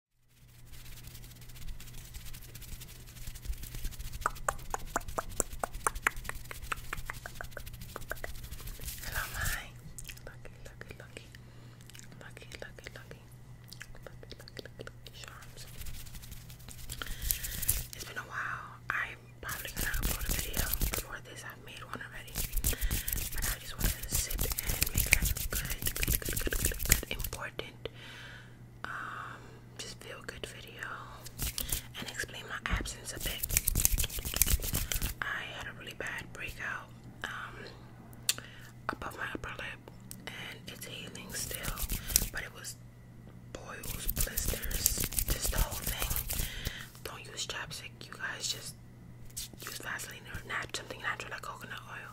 Hello, my lucky, lucky, lucky, lucky, lucky, lucky, lucky, charms. It's been a while. I'm probably gonna upload a video before this. I've made one already, but I just wanted to sit and make it a good, good important, um, just feel good video and explain my absence a bit. I had a really bad breakout um, above my upper lip and it's healing still, but it was boils, blisters, just the whole thing. Don't use chapstick, you guys just use Vaseline or nat something natural like coconut oil.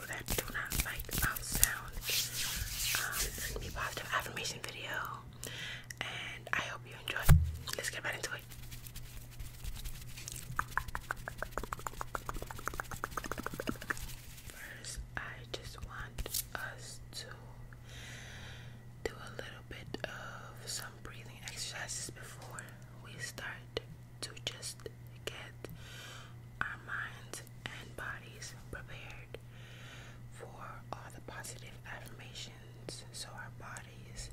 that do not like um, sound, um, send me positive affirmation video, and I hope you enjoy. Let's get right into it. First, I just want us to do a little bit of some breathing exercises before we start to just get our minds and bodies prepared for all the positive affirmations so our bodies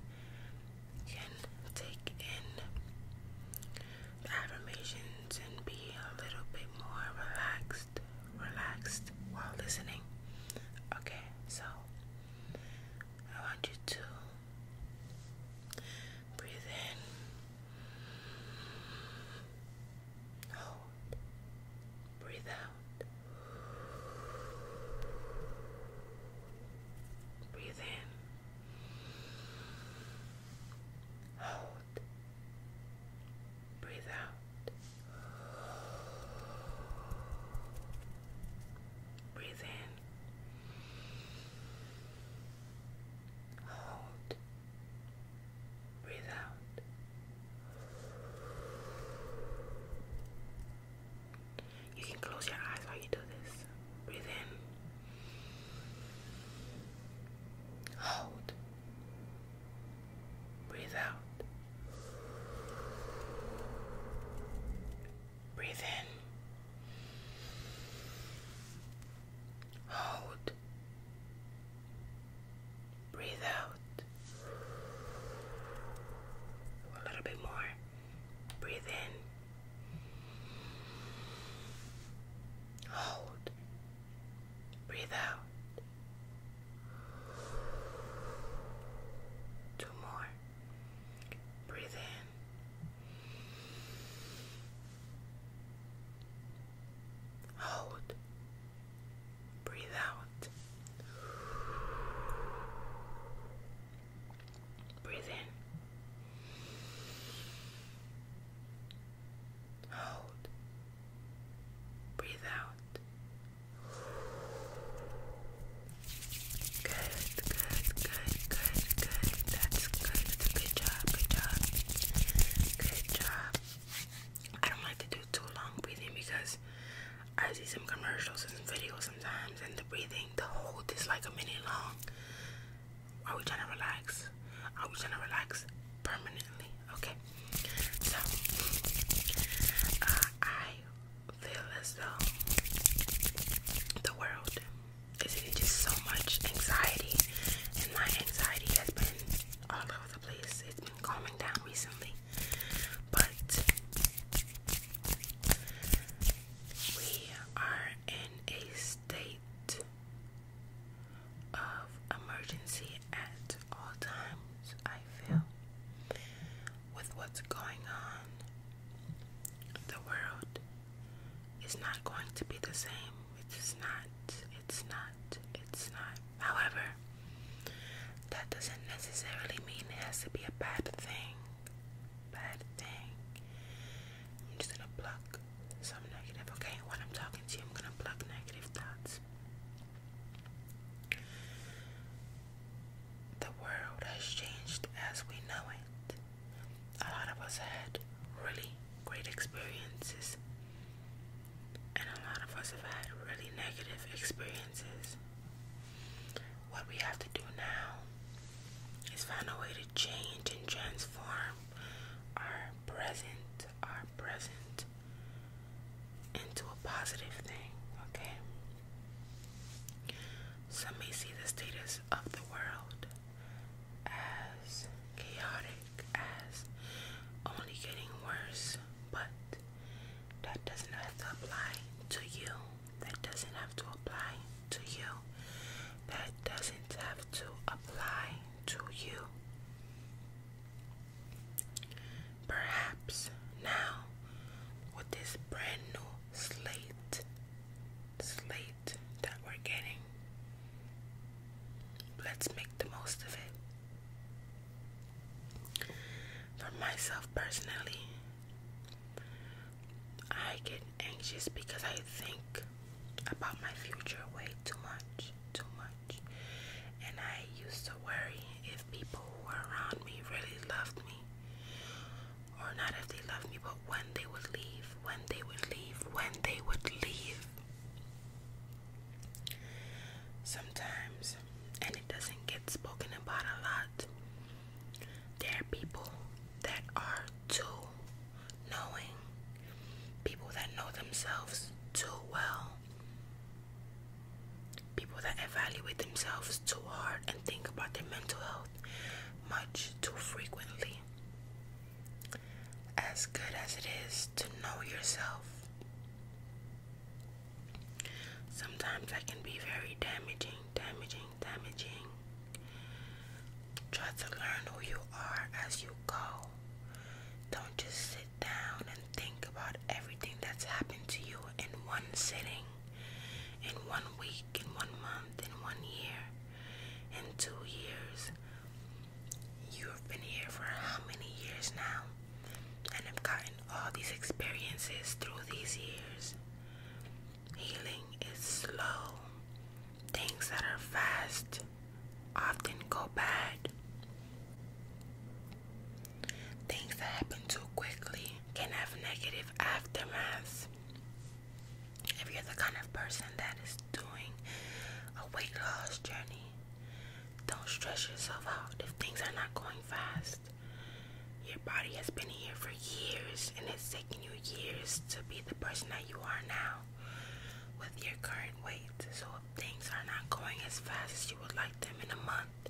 can take in affirmations and be a little bit more relaxed, relaxed while listening. Okay, so I want you to Breathe in. Hold. Breathe out. Breathe in. Hold. Breathe out. Breathe in. Hold. Breathe out. You can close your eyes while you do this. Breathe in. Hold. Breathe out. Breathe in. Hold. Breathe out. A little bit more. Breathe in. Hold. Breathe out. Two more. Breathe in. Hold. Breathe out. Breathe in. Hold. Breathe out. Good, good, good, good, good. That's good. good job. Good job. Good job. I don't like to do too long breathing because I see some commercials and some videos sometimes, and the breathing, the hold is like a minute long. Are we trying to relax? Are we trying to relax permanently? Okay. So, uh, I feel as though the world it's just so much anxiety, and my anxiety has been all over the place. It's been calming down recently, but we are in a state of emergency at all times. I feel with what's going on, the world it's not going to be the same. It's not, it's not, it's not. However, that doesn't necessarily mean it has to be a bad thing. Bad thing. I'm just gonna pluck some negative, okay? When I'm talking to you, I'm gonna pluck negative thoughts. The world has changed as we know it a lot of us had really great experiences, and a lot of us have had really negative experiences. What we have to do now is find a way to change and transform our present, our present into a positive thing, okay? Some may see the status of the world as chaotic as only getting worse, but that doesn't have to apply to you. That doesn't have to apply to you. That doesn't have to apply to you. Perhaps now, with this brand new slate, slate that we're getting. Let's make the most of it. For myself personally, I get anxious because I think about my future way too much, too much. And I used to worry if people who were around me really loved me or not if they loved me, but when they would leave, when they would leave, when they would leave. Sometimes, and it doesn't get spoken about a lot, there are people that are too knowing, people that know themselves too well, people that evaluate themselves too hard and think about their mental health much too frequently. As good as it is to know yourself, sometimes I can be very damaging, damaging, damaging. Try to learn who you are as you go. Don't just sit down and think about everything that's happened to you in one sitting in one week, in one month, in one year, in two years. You've been here for how many years now? And i have gotten all these experiences through these years. Healing is slow. Things that are fast often go bad. Things that happen too quickly can have negative aftermaths. If you're the kind of person that is doing a weight loss journey, don't stress yourself out. If things are not going fast, your body has been here for years and it's taken you years to be the person that you are now with your current weight. So if things are not going as fast as you would like them in a month,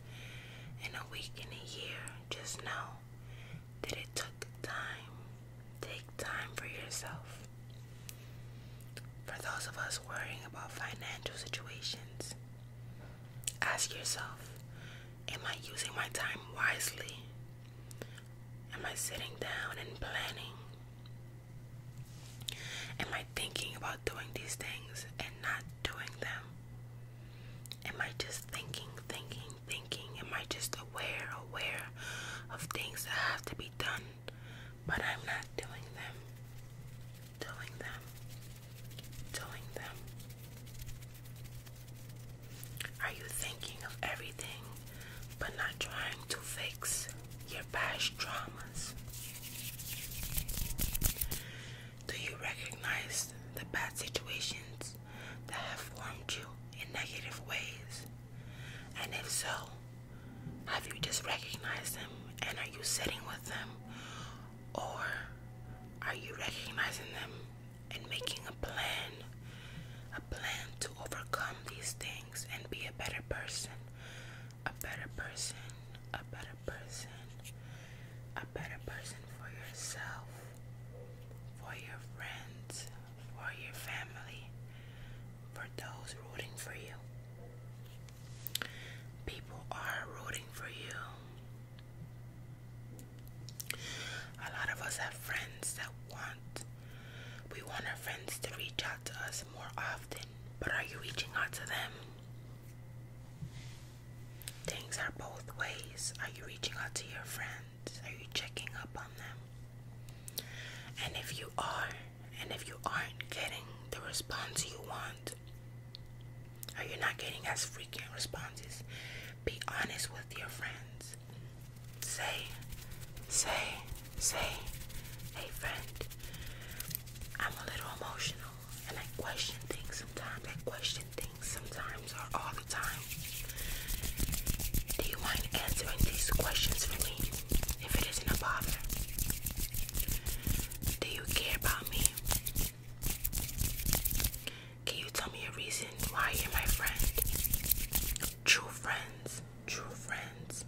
in a week, in a year, just know did it took time. Take time for yourself. For those of us worrying about financial situations, ask yourself Am I using my time wisely? Am I sitting down and planning? Am I thinking about doing these things and not doing them? Am I just thinking, thinking, thinking? Am I just aware, aware of things that have to be done, but I'm not doing them? Doing them. Doing them. Are you thinking of everything but not trying to fix your past traumas? Do you recognize the bad situations that have formed you in negative ways? And if so, have you just recognized them and are you sitting with them? Or are you recognizing them and making a plan? A plan to overcome these things and be a better person. A better person. A better person. A better person for yourself for your friends, for your family, for those rooting for you. People are rooting for you. A lot of us have friends that want, we want our friends to reach out to us more often, but are you reaching out to them? Things are both ways. Are you reaching out to your friends? Are you checking up on them? And if you are, and if you aren't getting the response you want, are you not getting as frequent responses, be honest with your friends. Say, say, say, hey friend, I'm a little emotional and I question things sometimes. I question things sometimes or all the time? Do you mind answering these questions for me if it isn't a bother? Do you care about me? Can you tell me a reason why you're my friend? True friends, true friends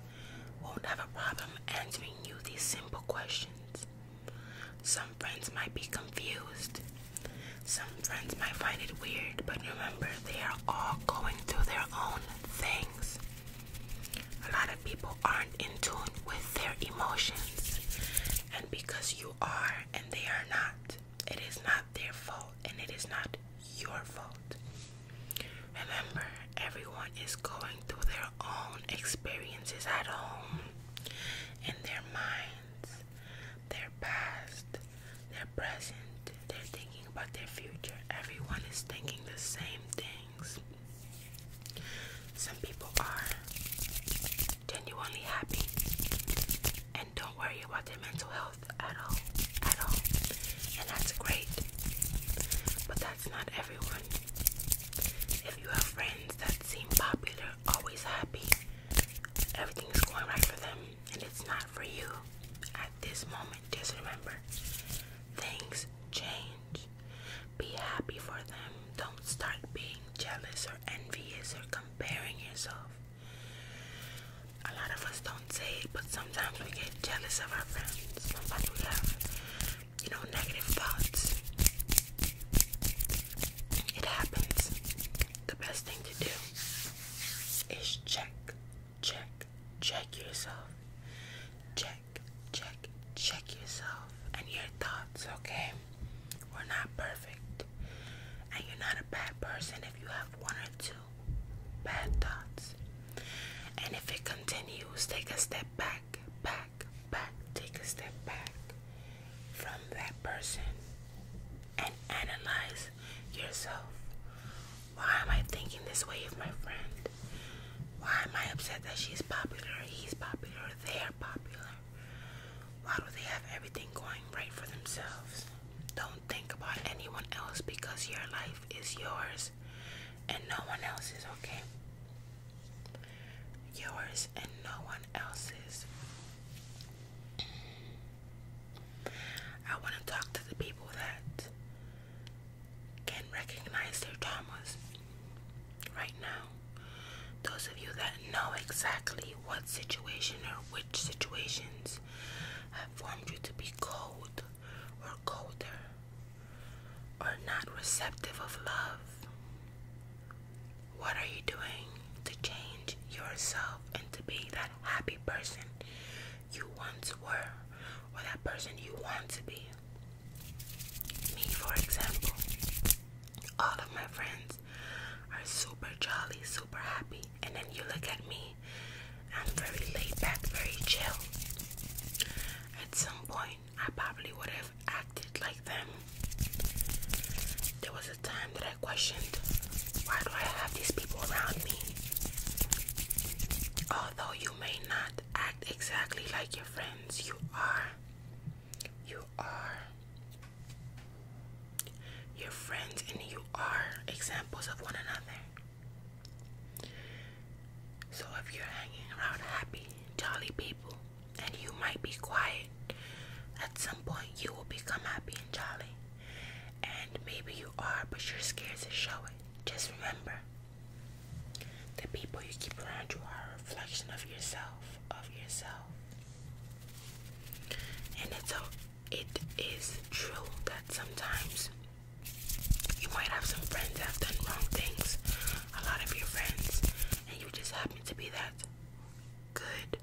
won't have a problem answering you these simple questions. Some friends might be confused. Some friends might find it weird, but remember, they are all going through their own things. A lot of people aren't in tune with their emotions, and because you are and they are not, it is not their fault and it is not your fault. Remember, everyone is going through their own experiences at home, in their minds, their past, their present, they're thinking about their future. Everyone is thinking the same things. Some people are genuinely happy and don't worry about their mental health at all, at all. And that's great, but that's not everyone. If you have friends that seem popular, always happy, everything is going right for them and it's not for you at this moment. Just remember things change. Be happy for them. Don't start being jealous or envious or comparing yourself. A lot of us don't say it, but sometimes we get jealous of our friends. Sometimes we have, you know, negative thoughts. It happens. The best thing to do is check, check, check yourself. Check, check, check yourself and your thoughts, okay? We're not perfect. And you're not a bad person if you have one or two bad thoughts. And if it continues, take a step back, back back, take a step back from that person and analyze yourself. Why am I thinking this way of my friend? Why am I upset that she's popular, he's popular, they're popular? Why do they have everything going right for themselves? Don't think about anyone else because your life is yours and no one else is okay? yours and no one else's. I want to talk to the people that can recognize their traumas right now. Those of you that know exactly what situation or which situations have formed you to be cold or colder or not receptive of love what are you doing to change yourself and to be that happy person you once were or that person you want to be? Me, for example, all of my friends are super jolly, super happy, and then you look at me, I'm very laid back, very chill. At some point, I probably would have acted like them. There was a time that I questioned why do I have these people around me? Although you may not act exactly like your friends, you are. You are. Your friends and you are examples of one another. So if you're hanging around happy, jolly people, and you might be quiet. At some point, you will become happy and jolly. And maybe you are, but you're scared to show it. Just remember the people you keep around you are a reflection of yourself, of yourself. And it's a, it is true that sometimes you might have some friends that have done wrong things, a lot of your friends, and you just happen to be that good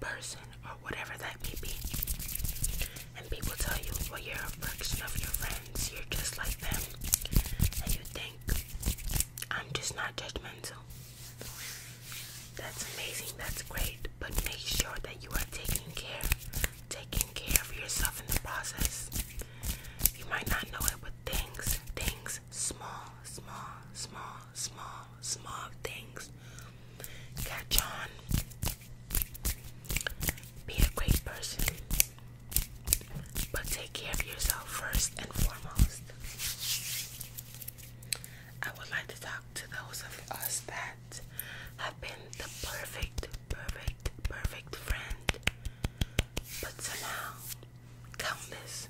person or whatever that may be. And people tell you, well, you're a fraction of your friends, you're just like them. And you think, I'm just not judgmental. That's amazing, that's great, but make sure that you are taking care, taking care of yourself in the process. You might not know it, but things, things, small, small, small, small, small things. Catch on. Be a great person. But take care of yourself first and foremost. I would like to talk to those of us that have been the perfect, perfect, perfect friend. But somehow countless,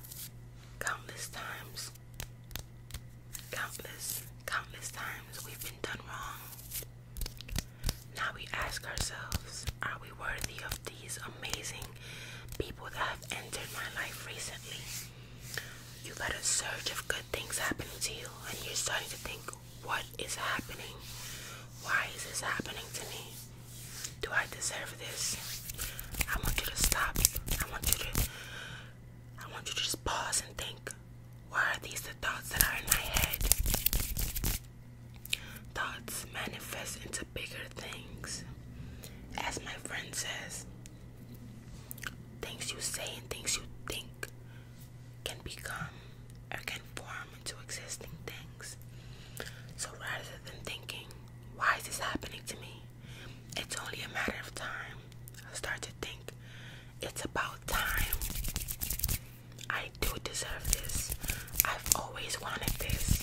countless times, countless, countless times we've been done wrong. Now we ask ourselves, are we worthy of these amazing people that have entered my life recently? You have got a surge of good things happening to you, and you're starting to think, what is happening? Why is this happening to me? Do I deserve this? I want you to stop. I want you to I want you to just pause and think. Why are these the thoughts that are in my head? Thoughts manifest into bigger things. As my friend says, things you say and things you think can become or can form into existing things. So rather than thinking why is this happening to me? It's only a matter of time. I start to think it's about time. I do deserve this. I've always wanted this,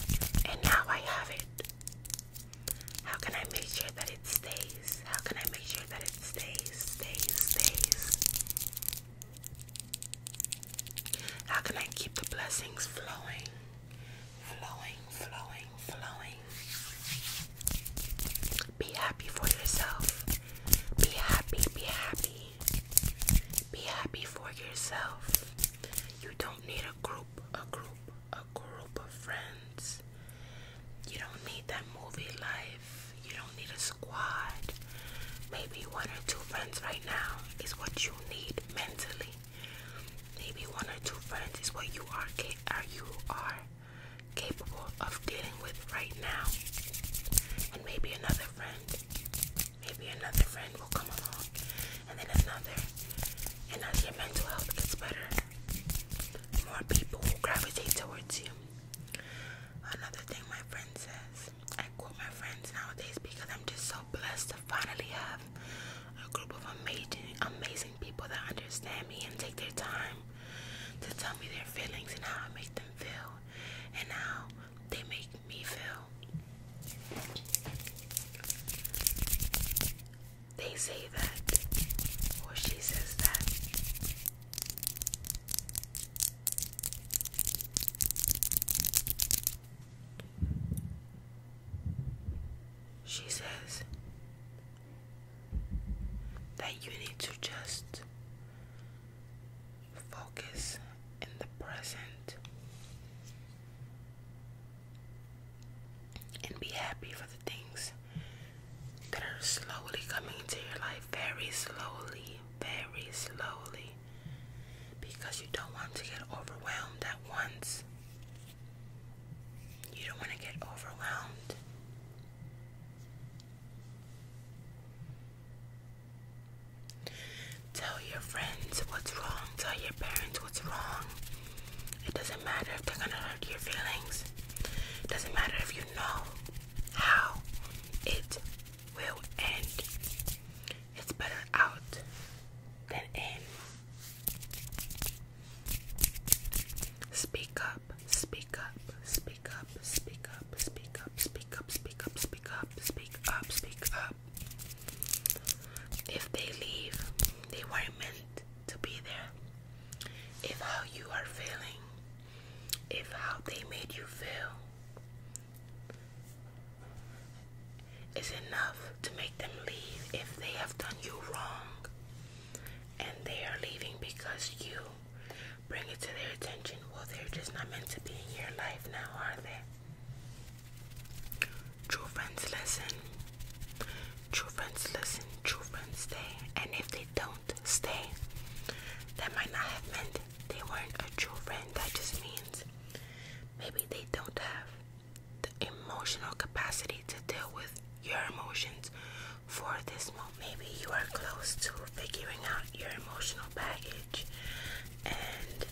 and now I have it. How can I make sure that it stays? How can I make sure that it stays, stays, stays? How can I keep the blessings flowing? flowing, flowing, flowing. Be happy for yourself. Be happy, be happy. Be happy for yourself. You don't need a group, a group, a group of friends. You don't need that movie life. You don't need a squad. Maybe one or two friends right now is what you need mentally. Maybe one or two friends is what you are, are you are capable of dealing with right now. And maybe another friend. Maybe another friend will come along. And then another. And as your mental health gets better, more people will gravitate towards you. Another thing my friend says I quote my friends nowadays because I'm just so blessed to finally have a group of amazing, amazing people that understand me and take their time to tell me their feelings and how I make them feel and how they make me feel. They say that, or she says that. She says that you need to just focus in the present and be happy for the things that are slowly coming into your life, very slowly, very slowly because you don't want to get overwhelmed at once. You don't want to get overwhelmed. Tell your friends what's wrong. Tell your parents what's wrong. It doesn't matter if they're going to hurt your feelings. It doesn't matter if you know how it will end. It's better out than in. Speak up, speak up, speak up, speak up, speak up, speak up, speak up, speak up, speak up, speak up. If they leave, they weren't meant to be there. If how you are feeling, if how they made you feel, is enough to make them leave if they have done you wrong and they are leaving because you bring it to their attention. Well, they're just not meant to be in your life now, are they? True friends listen. True friends listen. True friends stay. And if they don't stay, that might not have meant they weren't a true friend. That just means Maybe they don't have the emotional capacity to deal with your emotions for this moment. Maybe you are close to figuring out your emotional baggage and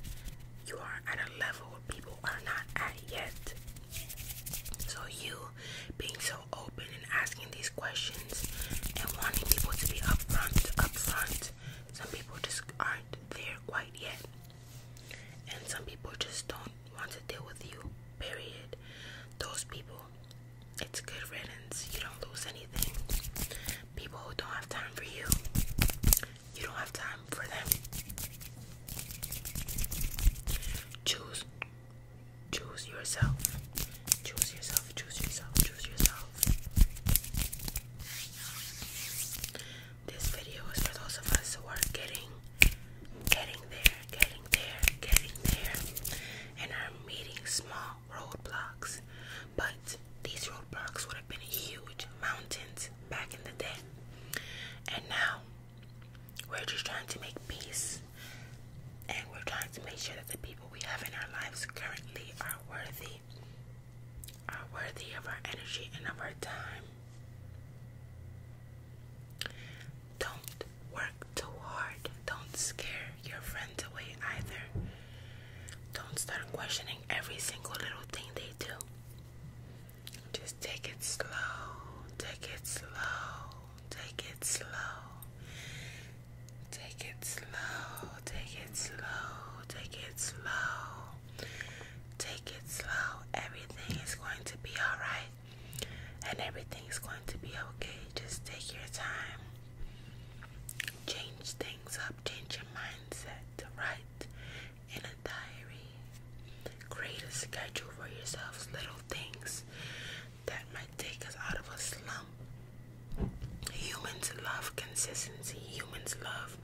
you are at a level where people are not at yet. So, you being so open and asking these questions and wanting people to be upfront, upfront some people just aren't there quite yet. And some people just don't want to deal with you, period. Those people, it's good riddance. You don't lose anything. People who don't have time for you, you don't have time for them. Choose. Choose yourself. Choose yourself. Choose yourself. Choose yourself. This video is for those of us who are getting, getting there, getting there, getting there, and are meeting small roadblocks. But these roadblocks would have been huge mountains back in the day. And now we're just trying to make peace. And we're trying to make sure that the people we have in our lives currently are worthy are worthy of our energy and of our time. Don't work too hard. Don't scare your friends away either. Don't start questioning every single little thing they do. Just take it slow, take it slow, take it slow. Take it slow, take it slow, take it slow. Take it slow. Everything is going to be alright. And everything is going to be okay. Just take your time. Change things up. Change your mindset. Write in a diary. Create a schedule for yourselves. Little things that might take us out of a slump. Humans love consistency. Humans love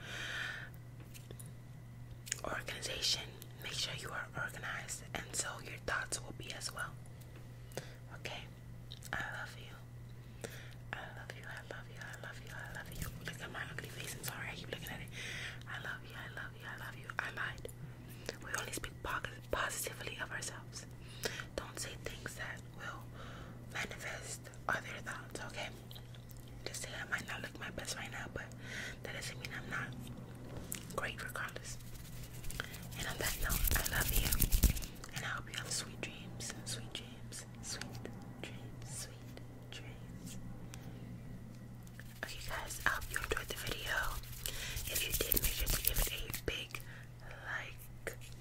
organization. Make sure you are organized, and so your thoughts will be as well. Okay? I love you. I love you. I love you. I love you. I love you. Look at my ugly face. I'm sorry. I keep looking at it. I love you. I love you. I love you. I lied. We only speak positively of ourselves. Don't say things that will manifest other thoughts, okay? Just say I might not look my best right now, but that doesn't mean I'm not great regardless. And on that note, I love you. And I hope you have sweet dreams. Sweet dreams. Sweet dreams. Sweet dreams. Okay guys, I hope you enjoyed the video. If you did, make sure to give it a big like